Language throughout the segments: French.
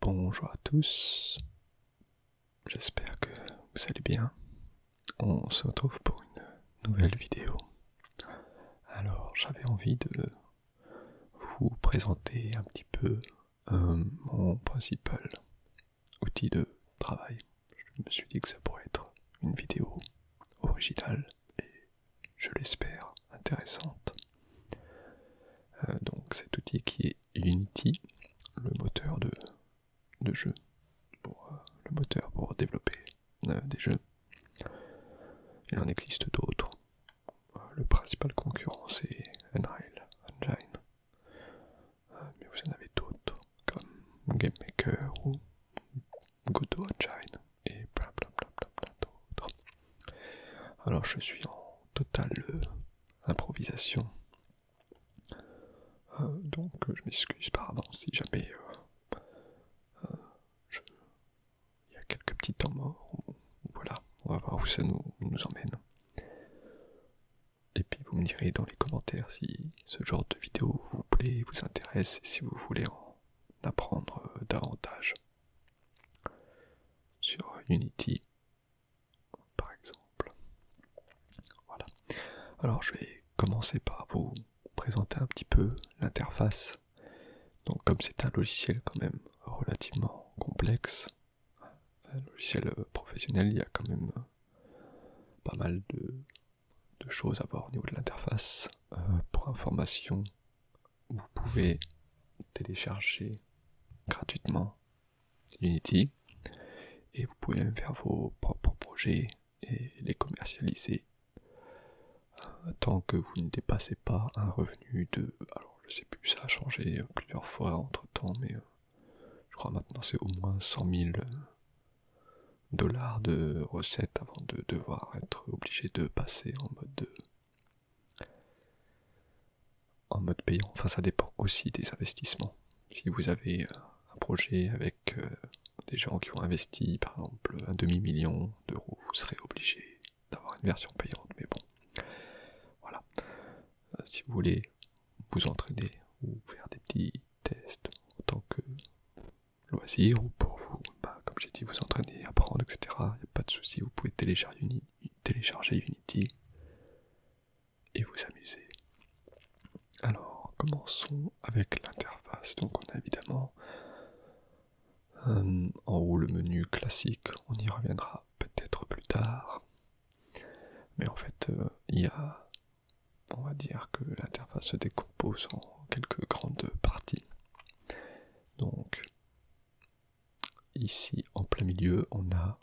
bonjour à tous, j'espère que vous allez bien. On se retrouve pour une nouvelle vidéo. Alors j'avais envie de vous présenter un petit peu euh, mon principal outil de travail. Je me suis dit que ça pourrait être une vidéo originale et, je l'espère, intéressante. Euh, donc cet outil qui est Unity, le moteur de, jeu, euh, le moteur pour développer euh, des jeux. Il en existe d'autres. le principal concurrent c'est Unreal Engine, mais vous en avez d'autres comme GameMaker ou Godot Engine et blablabla d'autres. Alors je suis en totale euh, improvisation. Euh, donc euh, je m'excuse par avance si jamais il y a quelques petits temps morts. Hein, voilà, on va voir où ça nous, nous emmène. Et puis vous me direz dans les commentaires si ce genre de vidéo vous plaît, vous intéresse si vous voulez en apprendre davantage sur Unity par exemple. Voilà. Alors je vais commencer par vous présenter un petit peu l'interface. Donc comme c'est un logiciel quand même relativement complexe, un logiciel professionnel, il y a quand même euh, pas mal de, choses à voir au niveau de l'interface. Euh, pour information, vous pouvez télécharger gratuitement Unity et vous pouvez même faire vos propres projets et les commercialiser euh, tant que vous ne dépassez pas un revenu de alors je sais plus ça a changé euh, plusieurs fois entre temps mais euh, je crois maintenant c'est au moins 100 000 dollars de recettes avant de devoir être obligé de passer en mode en mode payant. Enfin, ça dépend aussi des investissements. Si vous avez euh, un projet avec euh, des gens qui ont investi, par exemple, un demi-million d'euros, vous serez obligé d'avoir une version payante. Mais bon, voilà. Euh, si vous voulez vous entraîner ou faire des petits tests en tant que loisir ou pour vous comme j'ai dit, vous entraîner, apprendre, etc. Il n'y a pas de souci, vous pouvez télécharger, Unity et vous amuser. Alors, commençons avec l'interface. Donc, on a évidemment euh, en haut le menu classique, on y reviendra peut-être plus tard. Mais en fait, euh, il y a, on va dire que l'interface se décompose en quelques grandes parties. Donc, Ici, en plein milieu, on a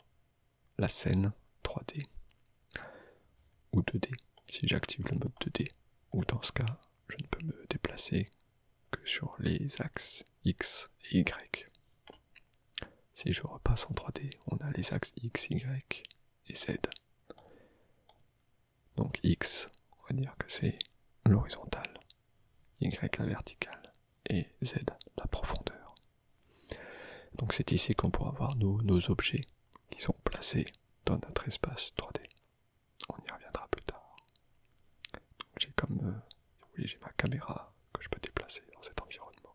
la scène 3D ou 2D. Si j'active le mode 2D, ou dans ce cas, je ne peux me déplacer que sur les axes X et Y. Si je repasse en 3D, on a les axes X, Y et Z. Donc X, on va dire que c'est l'horizontale y la verticale, et z la profondeur. Donc c'est ici qu'on pourra voir nos, objets qui sont placés dans notre espace 3D. On y reviendra plus tard. J'ai comme, euh, j'ai ma caméra que je peux déplacer dans cet environnement.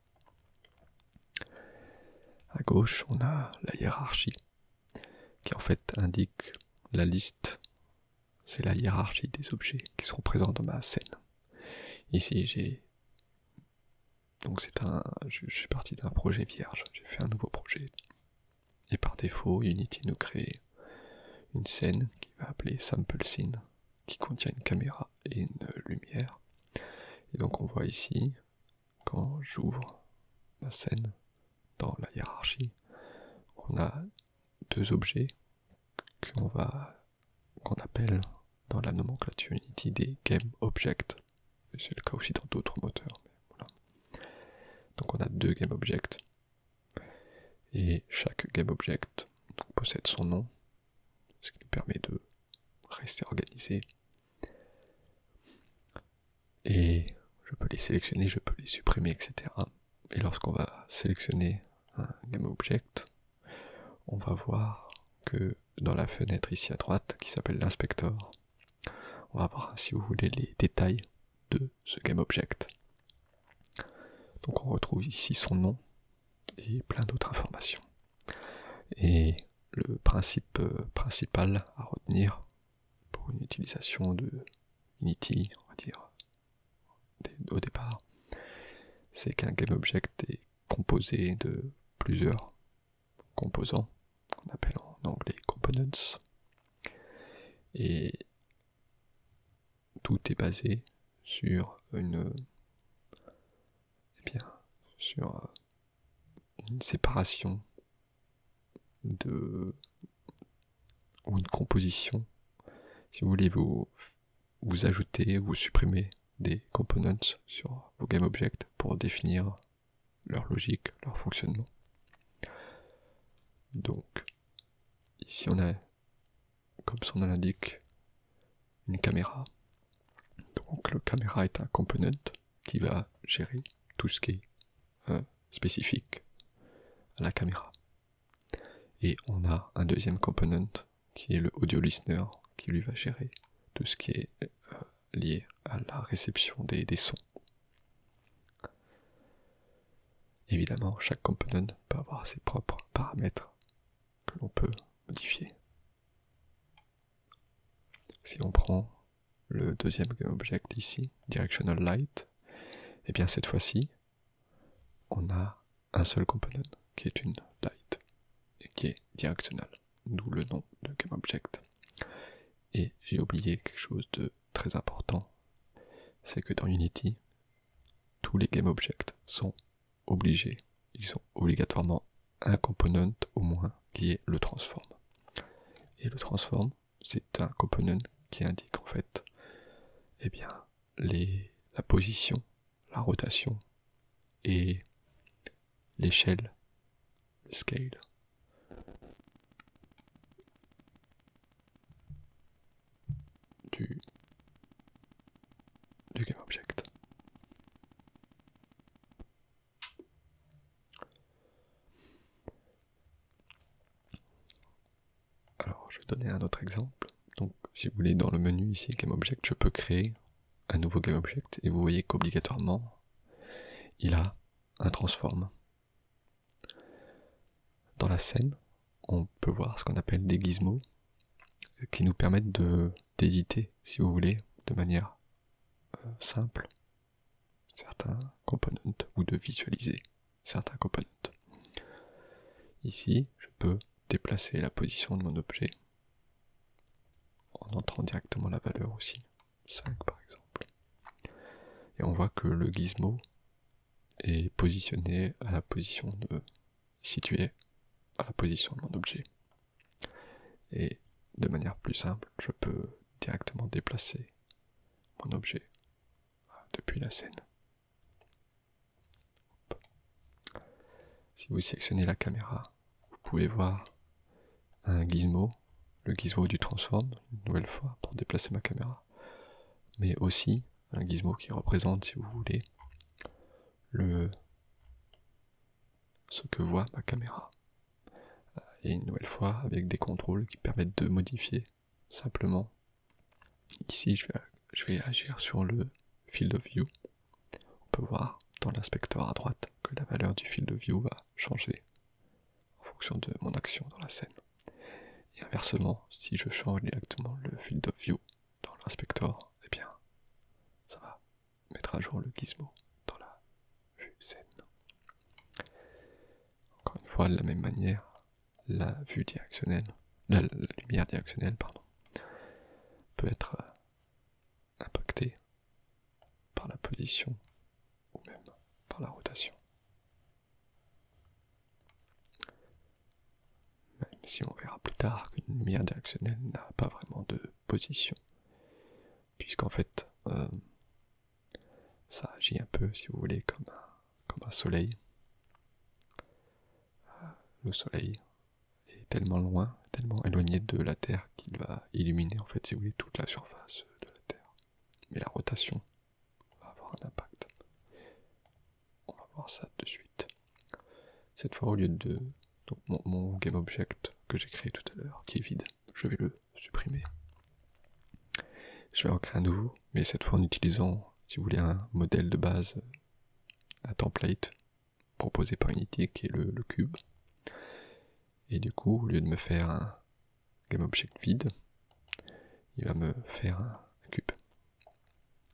A gauche, on a la hiérarchie qui en fait indique la liste c'est la hiérarchie des objets qui seront présents dans ma scène. Ici, j'ai. Donc, c'est un. Je, je suis parti d'un projet vierge. J'ai fait un nouveau projet. Et par défaut, Unity nous crée une scène qui va appeler Sample Scene, qui contient une caméra et une lumière. Et donc, on voit ici, quand j'ouvre ma scène dans la hiérarchie, on a deux objets qu'on va qu'on appelle dans la nomenclature Unity des game objects. C'est le cas aussi dans d'autres moteurs. Donc on a deux game objects et chaque game object possède son nom, ce qui permet de rester organisé et je peux les sélectionner, je peux les supprimer, etc. Et lorsqu'on va sélectionner un GameObject, on va voir que dans la fenêtre ici à droite, qui s'appelle l'inspector, on va voir si vous voulez les détails de ce GameObject. Donc on retrouve ici son nom et plein d'autres informations. Et le principe euh, principal à retenir pour une utilisation de Unity, on va dire, au départ, c'est qu'un GameObject est composé de plusieurs composants, qu'on appelle en anglais components, et tout est basé sur une, eh sur euh, une séparation de ou une composition. Si vous voulez, vous, ajouter ou vous supprimez des components sur vos GameObject pour définir leur logique, leur fonctionnement. Donc, ici on a, comme son nom l'indique, une caméra. Donc le caméra est un component qui va gérer tout ce qui est spécifique à la caméra. Et on a un deuxième component qui est le audio listener qui lui va gérer tout ce qui est euh, lié à la réception des, des sons. Évidemment, chaque component peut avoir ses propres paramètres que l'on peut modifier. Si on prend le deuxième object ici, Directional Light, et eh bien cette fois-ci, on a un seul component qui est une light et qui est directionnelle, d'où le nom de GameObject. Et j'ai oublié quelque chose de très important, c'est que dans Unity, tous les GameObjects sont obligés, ils ont obligatoirement un component au moins qui est le transform. Et le transform, c'est un component qui indique en fait eh bien, la position, la rotation et l'échelle, le scale. Du, du object. Alors, je vais donner un autre exemple. Donc, si vous voulez, dans le menu ici, GameObject, je peux créer un nouveau GameObject et vous voyez qu'obligatoirement, il a un transform. Dans la scène, on peut voir ce qu'on appelle des gizmos qui nous permettent d'éditer, si vous voulez, de manière euh, simple certains components ou de visualiser certains components. Ici, je peux déplacer la position de mon objet en entrant directement la valeur aussi, 5 par exemple. Et on voit que le gizmo est positionné à la position de situé à la position de mon objet. Et de manière plus simple, je peux directement déplacer mon objet depuis la scène. Si vous sélectionnez la caméra, vous pouvez voir un gizmo, le gizmo du transform, une nouvelle fois, pour déplacer ma caméra, mais aussi un gizmo qui représente, si vous voulez, le ce que voit ma caméra. Et une nouvelle fois, avec des contrôles qui permettent de modifier Simplement, ici, je vais, je vais agir sur le field of view. On peut voir dans l'inspecteur à droite que la valeur du field of view va changer en fonction de mon action dans la scène. Et inversement, si je change directement le field of view dans l'inspecteur, et eh bien, ça va mettre à jour le gizmo dans la vue scène encore une fois de la même manière la vue directionnelle, la, lumière directionnelle pardon, peut être euh, impactée par la position ou même par la rotation. Même si on verra plus tard qu'une lumière directionnelle n'a pas vraiment de position, puisqu'en fait euh, ça agit un peu, si vous voulez, comme un, comme un soleil. Euh, le soleil est tellement loin, tellement éloigné de la Terre qu'il va illuminer, en fait, si vous voulez, toute la surface de la Terre. Mais la rotation va avoir un impact. On va voir ça de suite. Cette fois, au lieu de mon, mon GameObject que j'ai créé tout à l'heure, qui est vide, je vais le supprimer. Je vais en créer un nouveau, mais cette fois en utilisant, si vous voulez, un modèle de base, un template proposé par Unity qui est le, cube. Et du coup, au lieu de me faire un GameObject vide, il va me faire un, cube.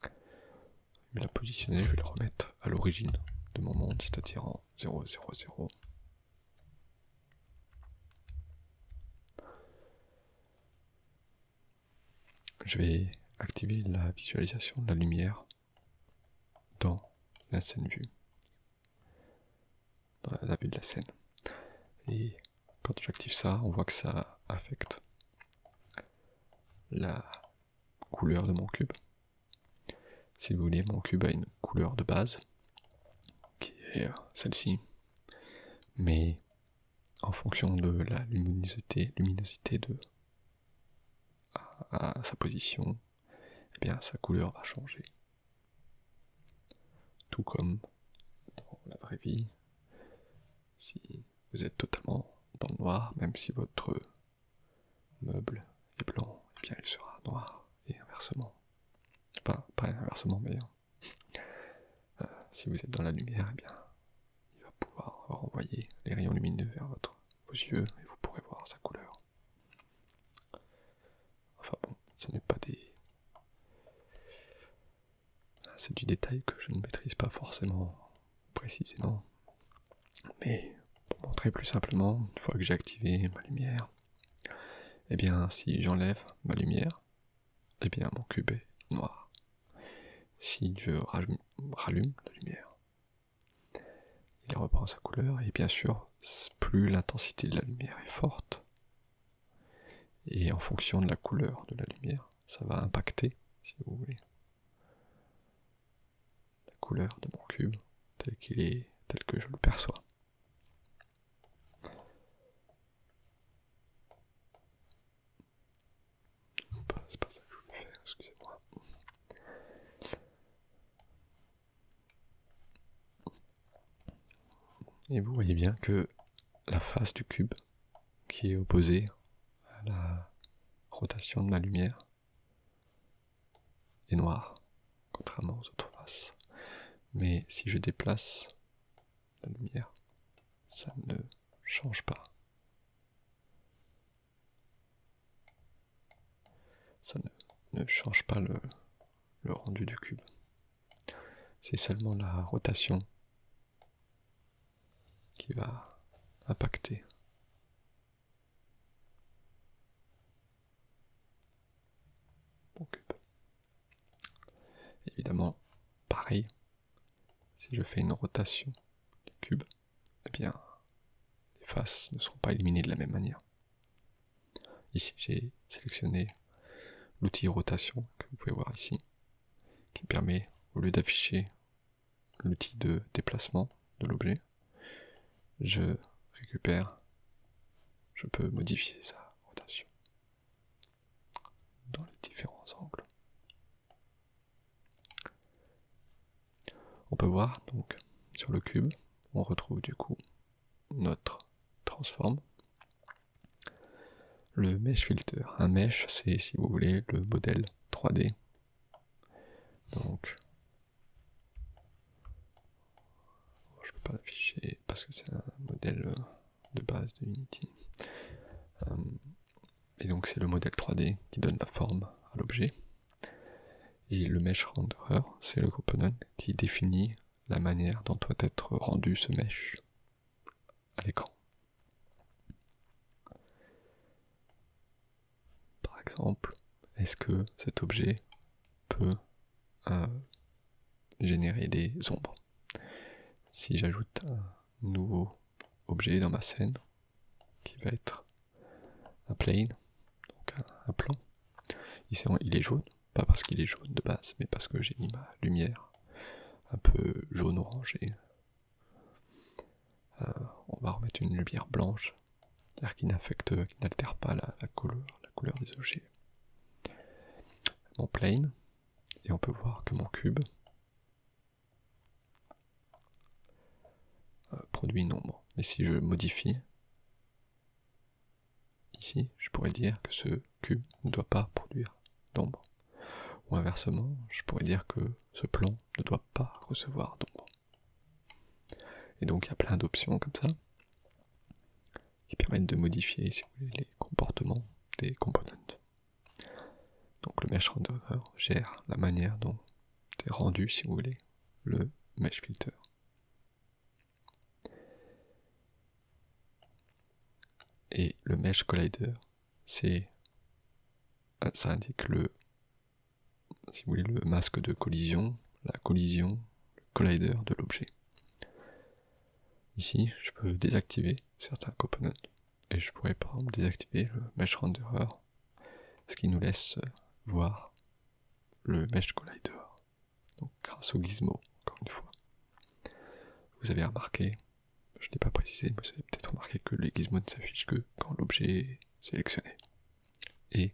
Je vais la positionner, je vais le remettre à l'origine de mon monde, c'est-à-dire en 0.0.0. Je vais activer la visualisation de la lumière dans la scène vue, dans la, vue de la scène. Et quand j'active ça, on voit que ça affecte la couleur de mon cube. Si vous voulez, mon cube a une couleur de base qui est celle-ci, mais en fonction de la luminosité, luminosité de sa position, eh bien sa couleur va changer. Tout comme dans la vraie vie, si vous êtes totalement dans le noir, même si votre meuble est blanc, eh bien il sera noir et inversement. pas inversement, mais euh, si vous êtes dans la lumière, eh bien, il va pouvoir renvoyer les rayons lumineux vers votre, vos yeux et vous pourrez voir sa couleur. Enfin bon, ce n'est pas des... C'est du détail que je ne maîtrise pas forcément précisément. Mais pour montrer plus simplement, une fois que j'ai activé ma lumière, et eh bien si j'enlève ma lumière, et bien mon cube est noir. Si je rallume, rallume la lumière, il reprend sa couleur et bien sûr, plus l'intensité de la lumière est forte, et en fonction de la couleur de la lumière, ça va impacter, si vous voulez, la couleur de mon cube tel qu'il est, tel que je le perçois. Et vous voyez bien que la face du cube qui est opposée à la rotation de ma lumière est noire, contrairement aux autres faces. Mais si je déplace la lumière, ça ne change pas. Ça ne, change pas le, le rendu du cube. C'est seulement la rotation qui va impacter. Mon cube. Évidemment, pareil, si je fais une rotation du cube, eh bien, les faces ne seront pas éliminées de la même manière. Ici, j'ai sélectionné l'outil rotation que vous pouvez voir ici, qui permet, au lieu d'afficher l'outil de déplacement de l'objet, je récupère, je peux modifier sa rotation dans les différents angles. On peut voir donc sur le cube, on retrouve du coup notre transforme, le mesh filter. Un mesh, c'est si vous voulez le modèle 3D. Donc je ne peux pas l'afficher parce que c'est un modèle euh, de base de Unity. Euh, et donc c'est le modèle 3D qui donne la forme à l'objet. Et le mesh renderer, c'est le component qui définit la manière dont doit être rendu ce mesh à l'écran. Par exemple, est-ce que cet objet peut euh, générer des ombres. Si j'ajoute un nouveau objet dans ma scène, qui va être un plane, donc un, plan, ici il est jaune, pas parce qu'il est jaune de base, mais parce que j'ai mis ma lumière un peu jaune-orangée. Euh, on va remettre une lumière blanche, car qui n'affecte, qui n'altère pas la, couleur, la couleur des objets mon plane et on peut voir que mon cube euh, produit nombre. Mais si je modifie ici, je pourrais dire que ce cube ne doit pas produire d'ombre. Ou inversement, je pourrais dire que ce plan ne doit pas recevoir d'ombre. Et donc il y a plein d'options comme ça qui permettent de modifier les comportements des components. Donc le mesh renderer gère la manière dont est rendu, si vous voulez, le mesh filter. Et le mesh collider, c'est ça indique le si vous le masque de collision, la collision, le collider de l'objet. Ici, je peux désactiver certains components et je pourrais par exemple désactiver le mesh renderer, ce qui nous laisse voir le mesh collider. Donc grâce au gizmo, encore une fois. Vous avez remarqué, je n'ai pas précisé, mais vous avez peut-être remarqué que les gizmos ne s'affichent que quand l'objet est sélectionné. Et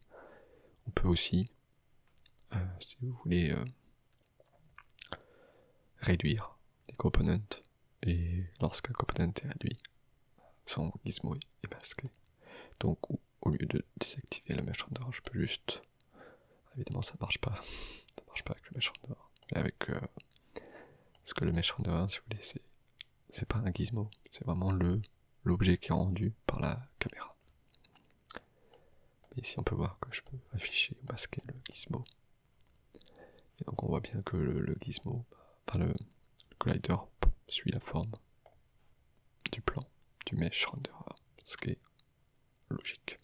on peut aussi euh, si vous voulez euh, réduire les components, et lorsqu'un component est réduit, son gizmo est masqué. Donc au lieu de désactiver le mesh render, je peux juste. Évidemment, ça marche pas. Ça marche pas avec le mesh render. Mais avec. Euh, ce que le mesh render, hein, si vous voulez, c'est, pas un gizmo, c'est vraiment le l'objet qui est rendu par la caméra ici on peut voir que je peux afficher, masquer le gizmo. donc on voit bien que le, gizmo, bah, enfin le, collider suit la forme du plan du mesh render, hein, ce qui est logique.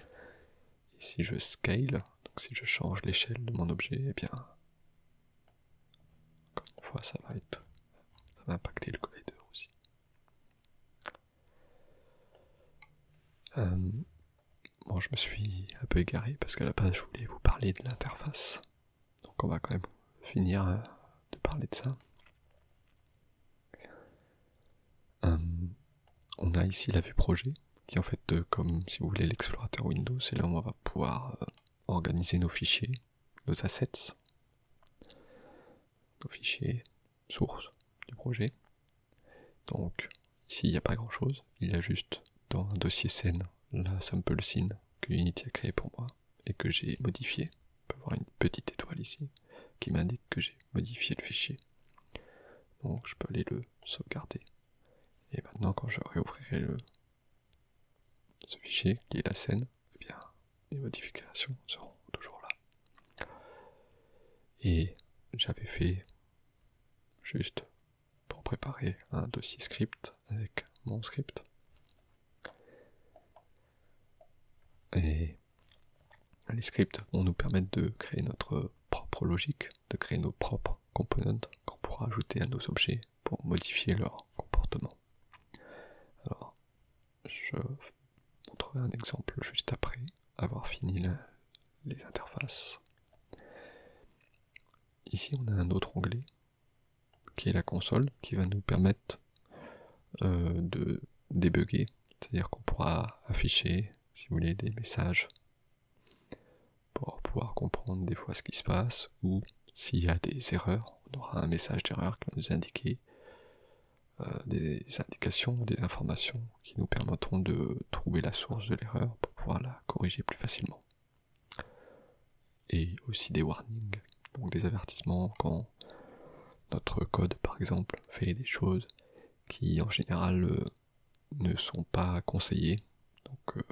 Et si je scale, donc si je change l'échelle de mon objet, et eh bien encore une fois ça va être ça va impacter le collider aussi. Euh, bon, je me suis un peu égaré parce qu'à la base, je voulais vous parler de l'interface. Donc, on va quand même finir euh, de parler de ça. Euh, on a ici la vue projet, qui est en fait, comme si vous voulez, l'explorateur Windows. Et là, on va pouvoir organiser nos fichiers, nos assets, nos fichiers, source du projet. Donc ici il n'y a pas grand chose, il y a juste dans un dossier scène la sample scene que Unity a créé pour moi et que j'ai modifié. On peut voir une petite étoile ici qui m'indique que j'ai modifié le fichier. Donc je peux aller le sauvegarder. Et maintenant quand je réouvrirai le, ce fichier qui est la scène, eh bien, les modifications seront toujours là. Et j'avais fait juste pour préparer un dossier script avec mon script. Et les scripts vont nous permettre de créer notre propre logique, de créer nos propres components qu'on pourra ajouter à nos objets pour modifier leur comportement. Alors, je montrerai un exemple juste après avoir fini les interfaces. Ici, on a un autre onglet qui est la console qui va nous permettre euh, de débugger, c'est-à-dire qu'on pourra afficher, si vous voulez, des messages pour pouvoir comprendre des fois ce qui se passe ou s'il y a des erreurs, on aura un message d'erreur qui va nous indiquer euh, des indications, des informations qui nous permettront de trouver la source de l'erreur pour pouvoir la corriger plus facilement. Et aussi des warnings, donc des avertissements quand notre code par exemple fait des choses qui en général euh, ne sont pas conseillées. Donc euh,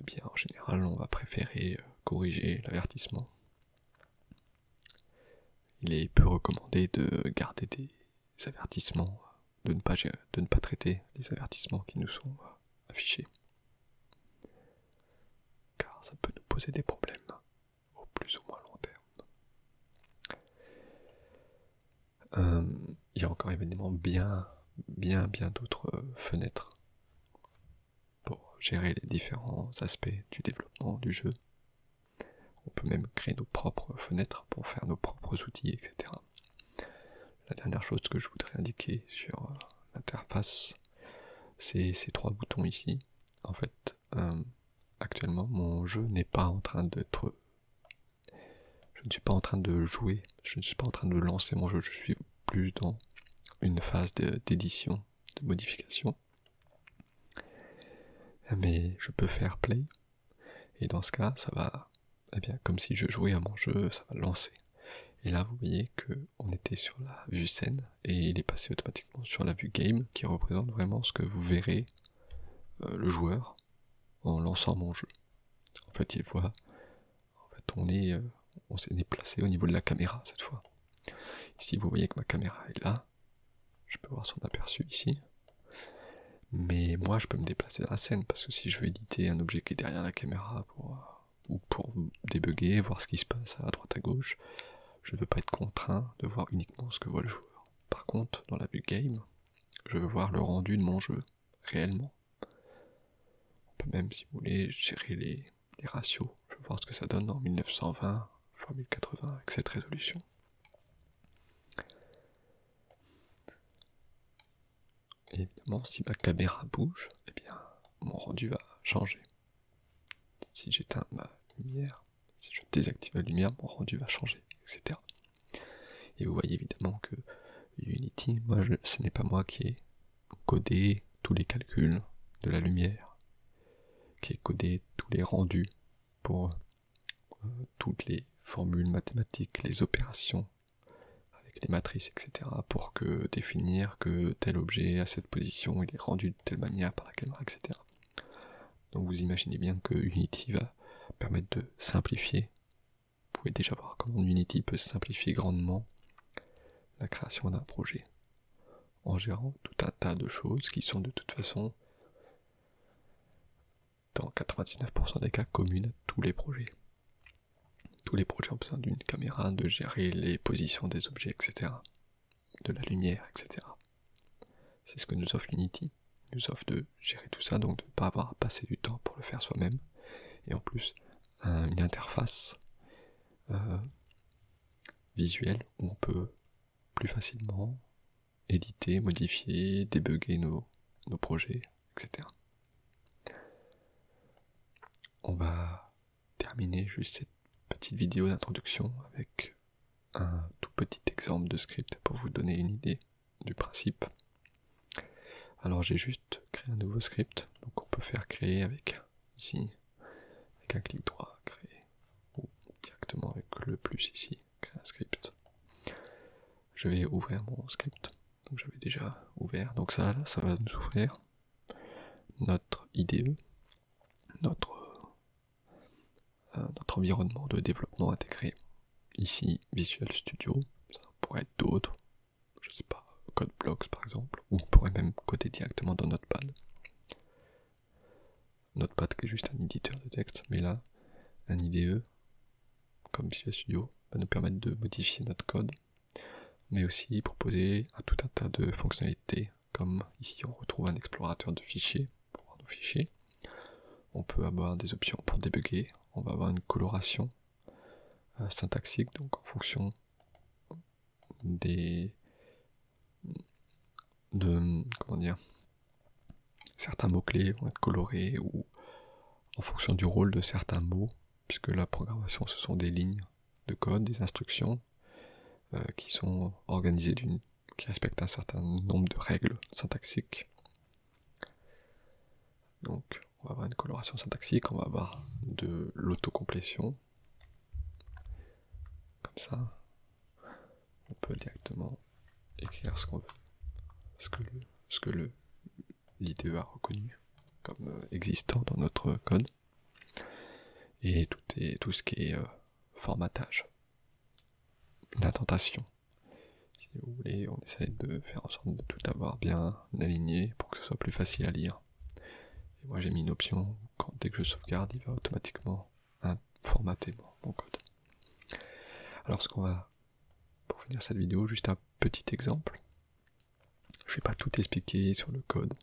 eh bien en général on va préférer corriger l'avertissement il est peu recommandé de garder des avertissements, de ne pas, traiter les avertissements qui nous sont euh, affichés. Car ça peut nous poser des problèmes, au plus ou moins long terme. Euh, il y a encore évidemment bien, bien, bien d'autres euh, fenêtres pour gérer les différents aspects du développement du jeu. On peut même créer nos propres fenêtres pour faire nos propres outils, etc. La dernière chose que je voudrais indiquer sur euh, l'interface, c'est ces trois boutons ici. En fait, euh, actuellement, mon jeu n'est pas en train d'être... Je ne suis pas en train de jouer, je ne suis pas en train de lancer mon jeu, je suis plus dans une phase d'édition, de modification. Ah, mais je peux faire play, et dans ce cas, ça va, eh bien, comme si je jouais à mon jeu, ça va lancer. Et là, vous voyez qu'on était sur la vue scène, et il est passé automatiquement sur la vue game, qui représente vraiment ce que vous verrez euh, le joueur en lançant mon jeu. En fait, il voit, on est, euh, on s'est déplacé au niveau de la caméra cette fois. Ici, vous voyez que ma caméra est là. Je peux voir son aperçu ici. Mais moi, je peux me déplacer dans la scène parce que si je veux éditer un objet qui est derrière la caméra ou pour débugger, voir ce qui se passe à droite à gauche, je ne veux pas être contraint de voir uniquement ce que voit le joueur. Par contre, dans la vue game, je veux voir le rendu de mon jeu réellement. On peut même, si vous voulez, gérer les, les ratios. Je vais voir ce que ça donne en 1920 x 1080 avec cette résolution. Et évidemment, si ma caméra bouge, eh bien, mon rendu va changer. Si j'éteins ma lumière, si je désactive la lumière, mon rendu va changer, etc. Et vous voyez évidemment que Unity, moi, ce n'est pas moi qui ai codé tous les calculs de la lumière, qui est codé tous les rendus pour euh, toutes les formules mathématiques, les opérations avec les matrices, etc. pour que définir que tel objet à cette position il est rendu de telle manière par la caméra, etc. Donc vous imaginez bien que Unity va permettre de simplifier. Vous pouvez déjà voir comment Unity peut simplifier grandement la création d'un projet en gérant tout un tas de choses qui sont de toute façon dans 99% des cas communes à tous les projets. Tous les projets ont besoin d'une caméra, de gérer les positions des objets, etc. De la lumière, etc. C'est ce que nous offre Unity. nous offre de gérer tout ça, donc de ne pas avoir à passer du temps pour le faire soi-même. Et en plus, une interface euh, visuelle où on peut plus facilement éditer, modifier, débugger nos, nos projets, etc. On va terminer juste cette petite vidéo d'introduction avec un tout petit exemple de script pour vous donner une idée du principe. Alors j'ai juste créé un nouveau script, donc on peut faire créer avec ici, avec un clic droit, créer, ou directement avec le plus ici, créer un script. Je vais ouvrir mon script, donc j'avais déjà ouvert, donc ça là, ça va nous ouvrir notre IDE, notre, euh, notre environnement de développement intégré. Ici, Visual Studio, ça pourrait être d'autres, je sais pas, Code Blocks par exemple, ou on pourrait même coder directement dans Notepad. Notepad qui est juste un éditeur de texte, mais là, un IDE, comme Visual Studio, va nous permettre de modifier notre code, mais aussi proposer un tout un tas de fonctionnalités, comme ici on retrouve un explorateur de fichiers pour voir nos fichiers. On peut avoir des options pour débugger, on va avoir une coloration euh, syntaxique, donc en fonction des certains mots clés vont être colorés ou en fonction du rôle de certains mots puisque la programmation ce sont des lignes de code des instructions euh, qui sont organisées d'une qui respectent un certain nombre de règles syntaxiques donc on va avoir une coloration syntaxique on va avoir de l'autocomplétion comme ça, on peut directement écrire ce qu'on veut, ce que l'IDE a reconnu comme euh, existant dans notre code, et tout est tout ce qui est euh, formatage, la tentation. Si vous voulez, on essaye de faire en sorte de tout avoir bien aligné pour que ce soit plus facile à lire. Et moi j'ai mis une option quand, dès que je sauvegarde, il va automatiquement formater mon code. Alors ce qu'on va, pour finir cette vidéo, juste un petit exemple. Je ne vais pas tout expliquer sur le code,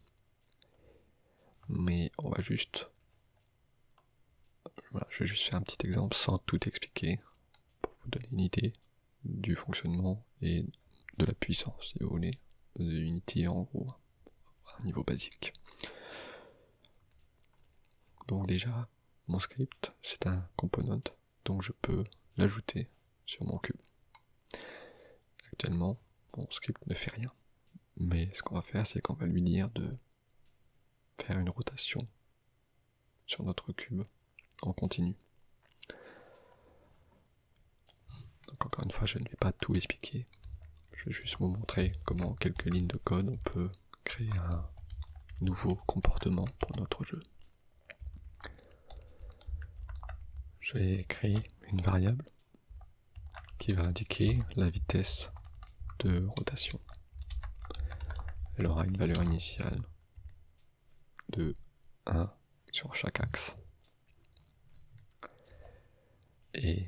mais on va juste... je vais juste faire un petit exemple sans tout expliquer, pour vous donner une idée du fonctionnement et de la puissance, si vous voulez, de Unity en gros un niveau basique. Donc déjà, mon script, c'est un component, donc je peux l'ajouter sur mon cube. Actuellement, mon script ne fait rien. Mais ce qu'on va faire, c'est qu'on va lui dire de faire une rotation sur notre cube en continu encore une fois, je ne vais pas tout expliquer. Je vais juste vous montrer comment en quelques lignes de code on peut créer un nouveau comportement pour notre jeu. Je vais créer une variable qui va indiquer la vitesse de rotation. Elle aura une valeur initiale de 1 sur chaque axe et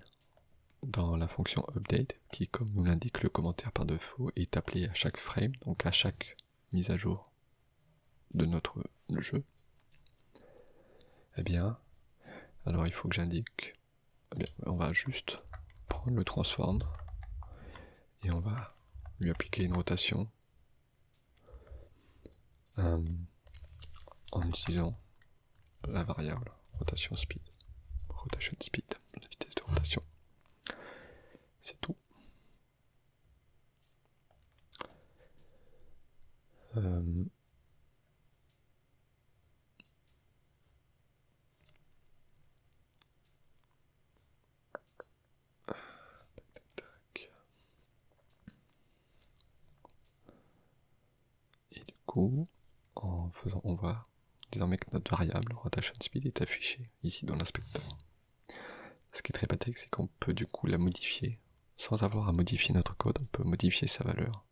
dans la fonction update, qui comme nous l'indique le commentaire par défaut, est appelé à chaque frame, donc à chaque mise à jour de notre jeu, et eh bien, alors il faut que j'indique, eh on va juste prendre le transform et on va lui appliquer une rotation euh, en utilisant la variable rotation speed, rotation speed, vitesse de rotation. C'est tout. Euh, et du coup, en faisant, on voit désormais que notre variable rotation speed est affichée ici dans l'inspecteur. Ce qui est très pratique, c'est qu'on peut du coup la modifier sans avoir à modifier notre code, on peut modifier sa valeur.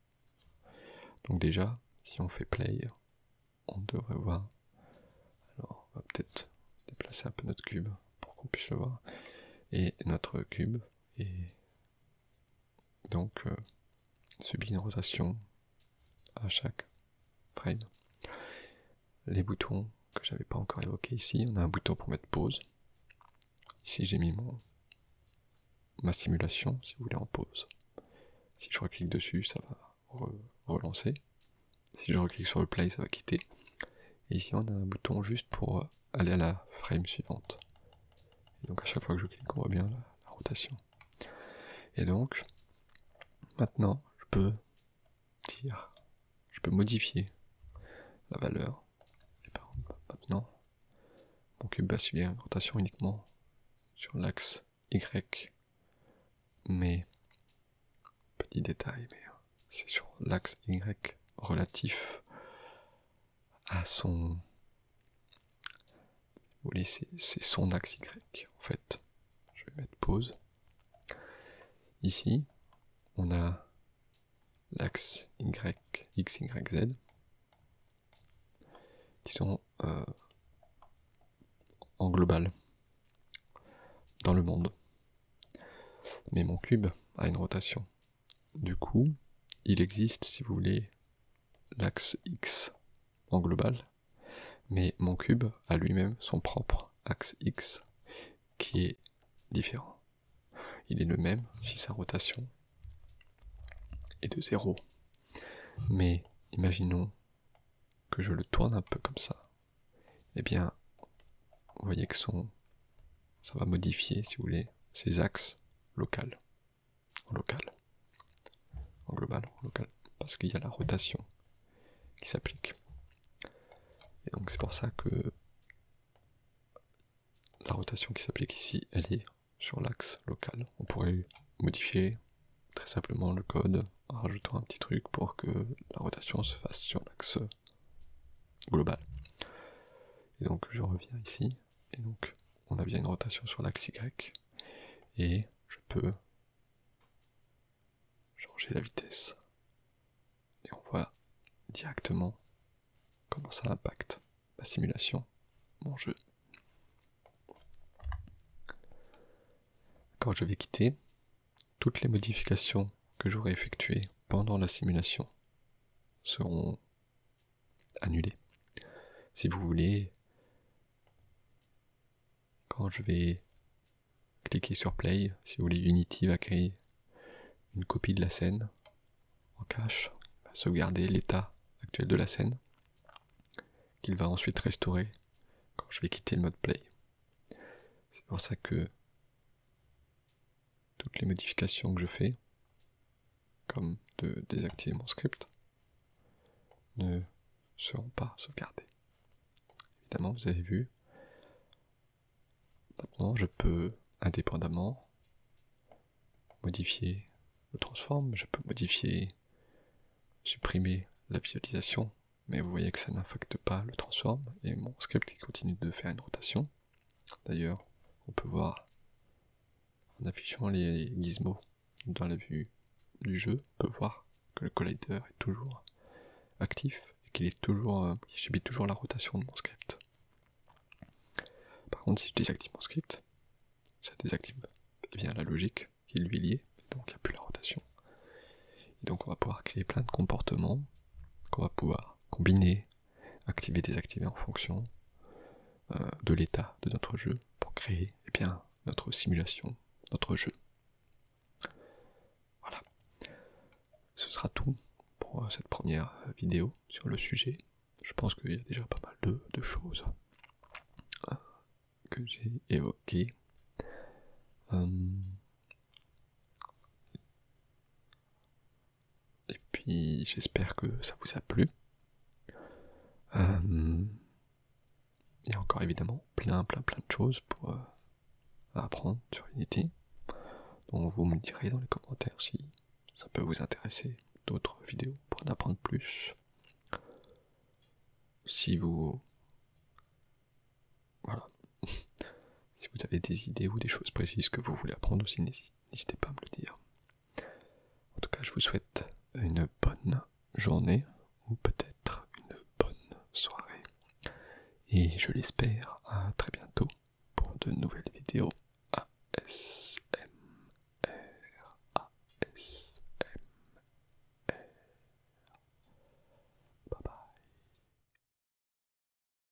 Donc déjà, si on fait play, on devrait voir. Alors, on va peut-être déplacer un peu notre cube pour qu'on puisse le voir. Et notre cube est donc euh, subit une rotation à chaque frame. Les boutons que j'avais pas encore évoqués ici, on a un bouton pour mettre pause. Ici j'ai mis mon, ma simulation, si vous voulez, en pause. Si je reclique dessus, ça va relancer. Si je reclique sur le play, ça va quitter. Et ici on a un bouton juste pour euh, aller à la frame suivante. Et donc à chaque fois que je clique, on voit bien la, rotation. Et donc, maintenant, je peux dire, je peux modifier la valeur. maintenant, mon cube va subir une rotation uniquement sur l'axe Y. Mais, petit détail, mais hein, c'est sur l'axe Y relatif à son... c'est son axe Y, en fait. Je vais mettre pause. Ici, on a l'axe Y, X, Y, Z, qui sont euh, en global, dans le monde. Mais mon cube a une rotation du coup, il existe, si vous voulez, l'axe X en global, mais mon cube a lui-même son propre axe X qui est différent. Il est le même si sa rotation est de 0. Mais imaginons que je le tourne un peu comme ça. Eh bien, vous voyez que son ça va modifier, si vous voulez, ces axes locales, en local, en global, en local, parce qu'il y a la rotation qui s'applique. Et donc c'est pour ça que la rotation qui s'applique ici, elle est sur l'axe local. On pourrait modifier très simplement le code en rajoutant un petit truc pour que la rotation se fasse sur l'axe global. Et donc je reviens ici, et donc on a bien une rotation sur l'axe Y, et je peux changer la vitesse. Et on voit directement comment ça impacte ma simulation, mon jeu. Quand je vais quitter, toutes les modifications que j'aurai effectuées pendant la simulation seront annulés. Si vous voulez, quand je vais cliquer sur play, si vous voulez, Unity va créer une copie de la scène en cache, va sauvegarder l'état actuel de la scène, qu'il va ensuite restaurer quand je vais quitter le mode play. C'est pour ça que toutes les modifications que je fais, comme de désactiver mon script, ne seront pas sauvegardées. Évidemment, vous avez vu, maintenant je peux indépendamment modifier le transform, je peux modifier, supprimer la visualisation, mais vous voyez que ça n'affecte pas le transform et mon script qui continue de faire une rotation. D'ailleurs, on peut voir en affichant les gizmos dans la vue du jeu, on peut voir que le collider est toujours actif et qu'il est toujours, euh, subit toujours la rotation de mon script. Par contre, si je désactive mon script, ça désactive eh bien la logique qui lui est liée, donc il n'y a plus la rotation. Et donc on va pouvoir créer plein de comportements qu'on va pouvoir combiner activer, désactiver en fonction euh, de l'état de notre jeu pour créer eh bien, notre simulation, notre jeu. Voilà. Ce sera tout pour euh, cette première euh, vidéo sur le sujet. Je pense qu'il y a déjà pas mal de, choses que j'ai évoquées. Et puis j'espère que ça vous a plu. Euh, il y a encore évidemment plein plein plein de choses pour euh, apprendre sur Unity. Donc vous me direz dans les commentaires si ça peut vous intéresser d'autres vidéos pour en apprendre plus. Si vous... Voilà. Si vous avez des idées ou des choses précises que vous voulez apprendre aussi, n'hésitez pas à me le dire. En tout cas, je vous souhaite une bonne journée ou peut-être une bonne soirée. Et je l'espère à très bientôt pour de nouvelles vidéos ASMR. ASMR. Bye bye.